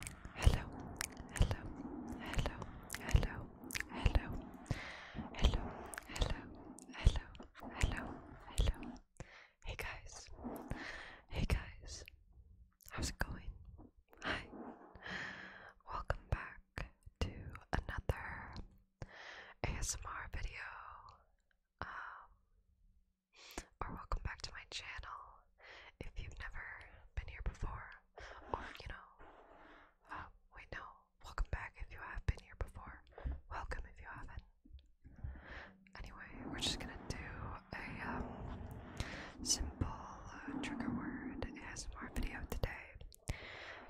Hello, hello, hello, hello, hello, hello, hello, hello, hello, hello. Hey guys, hey guys, how's it going? Hi, welcome back to another ASMR video. Um, or welcome back to my channel if you've never been here before, or you know, uh, wait, no, welcome back if you have been here before. Welcome if you haven't. Anyway, we're just gonna do a um, simple uh, trigger word ASMR video today.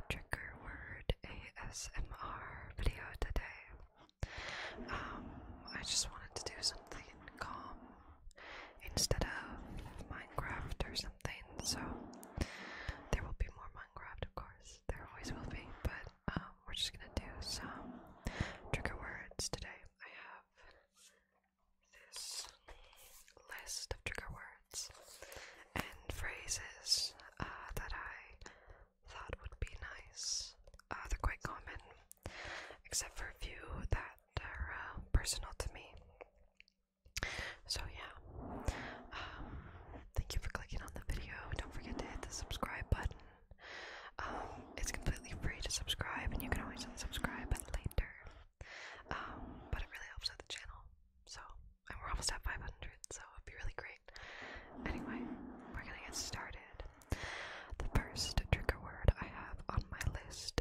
Trigger word ASMR video today. Um, I just wanted to do something calm instead of Minecraft or something. So there will be more Minecraft, of course. There always will be, but um, we're just gonna do some trigger words today. I have this list of trigger words and phrases uh, that I thought would be nice. Uh, they're quite common, except for a few that that are uh, personal to me. So yeah, thank you for clicking on the video. Don't forget to hit the subscribe button. Um, it's completely free to subscribe, and you can always unsubscribe later. Um, but it really helps out the channel. So, and we're almost at 500, so it'd be really great. Anyway, we're gonna get started. The first trigger word I have on my list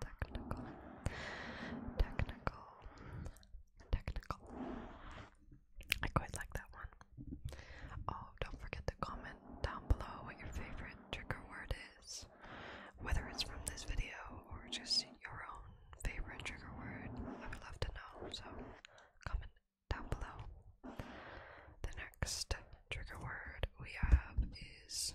technical, technical, technical. I quite like that one. Oh, don't forget to comment down below what your favorite trigger word is, whether it's from this video or just your own favorite trigger word. I would love to know, so comment down below. The next trigger word we have is.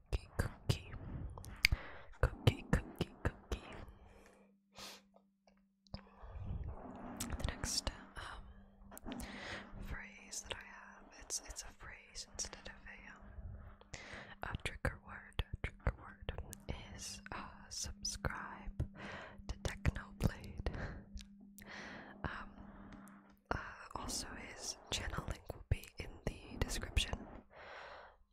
cookie, cookie, cookie, cookie, cookie. The next um, phrase that I have, it's it's a phrase instead of a um, a trigger word. trigger word is uh, subscribe to Technoblade. um, uh, also his channel link will be in the description.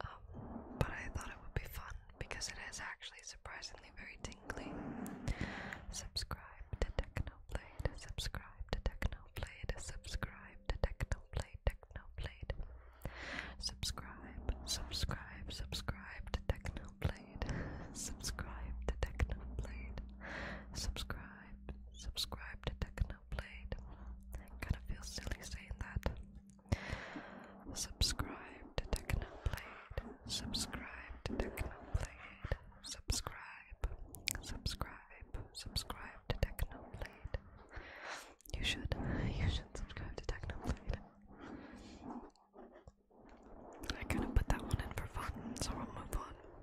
Um, but I thought it would be fun because it is actually surprisingly very tingly. Subscribe to Technoblade, subscribe to Technoblade, subscribe to Technoblade, Technoblade. Subscribe, subscribe, subscribe to Technoblade, subscribe to Technoblade, subscribe, subscribe to Technoblade. Xenoblade. Kind of feels silly saying that. Subscribe to Technoblade. Subscribe to Technoblade. Subscribe. Subscribe. Subscribe to Technoblade. You should. You should subscribe to Technoblade. I kind of put that one in for fun, so we will move on.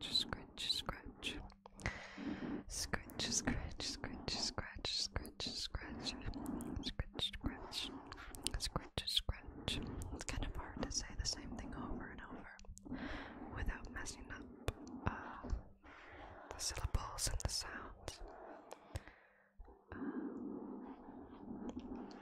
scratch, scratch, scratch. Scratch, scratch, scratch, scratch, scratch, scratch. Scratch, scratch. Scratch, scratch. It's kind of hard to say the same thing over and over without messing up uh, the syllables and the sounds. Uh,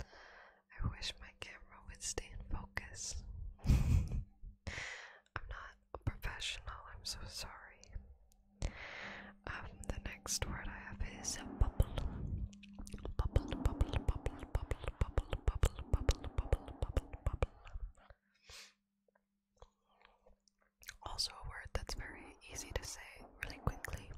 I wish my camera would stay in focus. I'm not a professional, I'm so sorry. Um, the next word I have is bubble. Bubble, bubble, bubble, bubble, bubble, bubble, bubble, bubble, bubble, bubble, bubble. Also, a word that's very easy to say really quickly.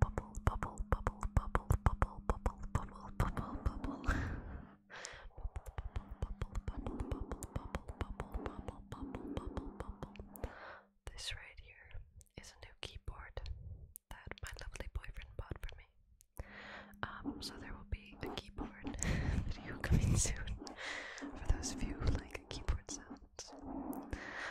bubble, bubble, bubble, bubble, bubble, bubble, bubble, bubble, bubble, bubble. This right here is a new keyboard that my lovely boyfriend bought for me. Um, so there will be a keyboard video coming soon for those of you who like keyboard sounds.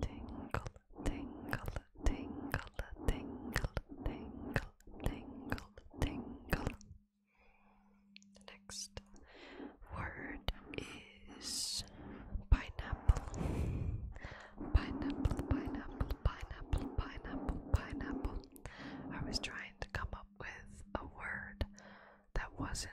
tingle, tingle, tingle, tingle, tingle, tingle, tingle. The next word is pineapple. Pineapple, pineapple, pineapple, pineapple, pineapple. I was trying to come up with a word that wasn't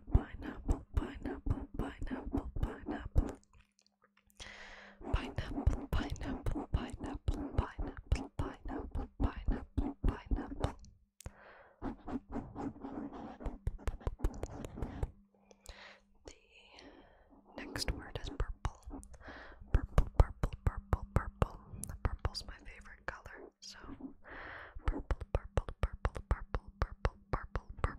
pineapple, pineapple, pineapple, pineapple. Pineapple, pineapple, pineapple, pineapple, pineapple, pineapple, pineapple. The next word is purple. Purple, purple, purple, purple. Purple's my favorite color, so purple, purple, purple, purple, purple, purple, purple,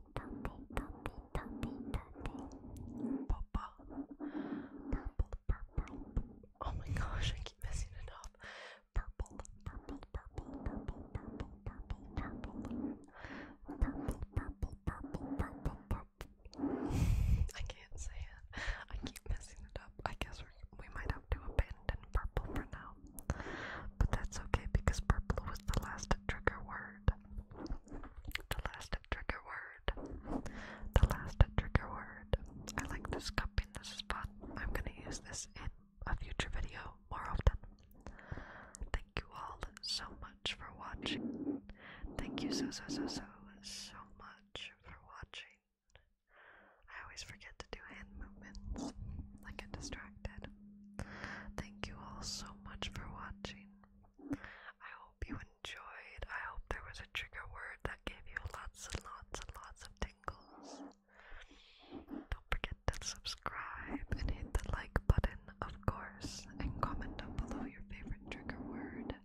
purple, purple, purple, purple, purple, purple, purple. Oh my gosh, I keep messing it up. Purple, purple, purple, purple, purple, purple, purple, purple, purple, purple, purple, purple. I can't say it. I keep messing it up. I guess we might have to abandon purple for now. But that's okay because purple was the last trigger word. The last trigger word. The last trigger word. I like this cup in This spot. I'm gonna use this in a future video more often. Thank you all so much for watching. Thank you so so so so so much for watching. I always forget to do hand movements. I get distracted. Thank you all so much for watching. I hope you enjoyed. I hope there was a trigger word that gave you lots and lots and lots of tingles. Don't forget to subscribe and hit the like button, of course, and comment down below your favorite trigger word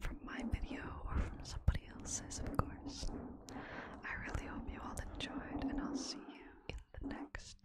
from my video or from somebody else's, of course. I really hope you all enjoyed, and I'll see you in the next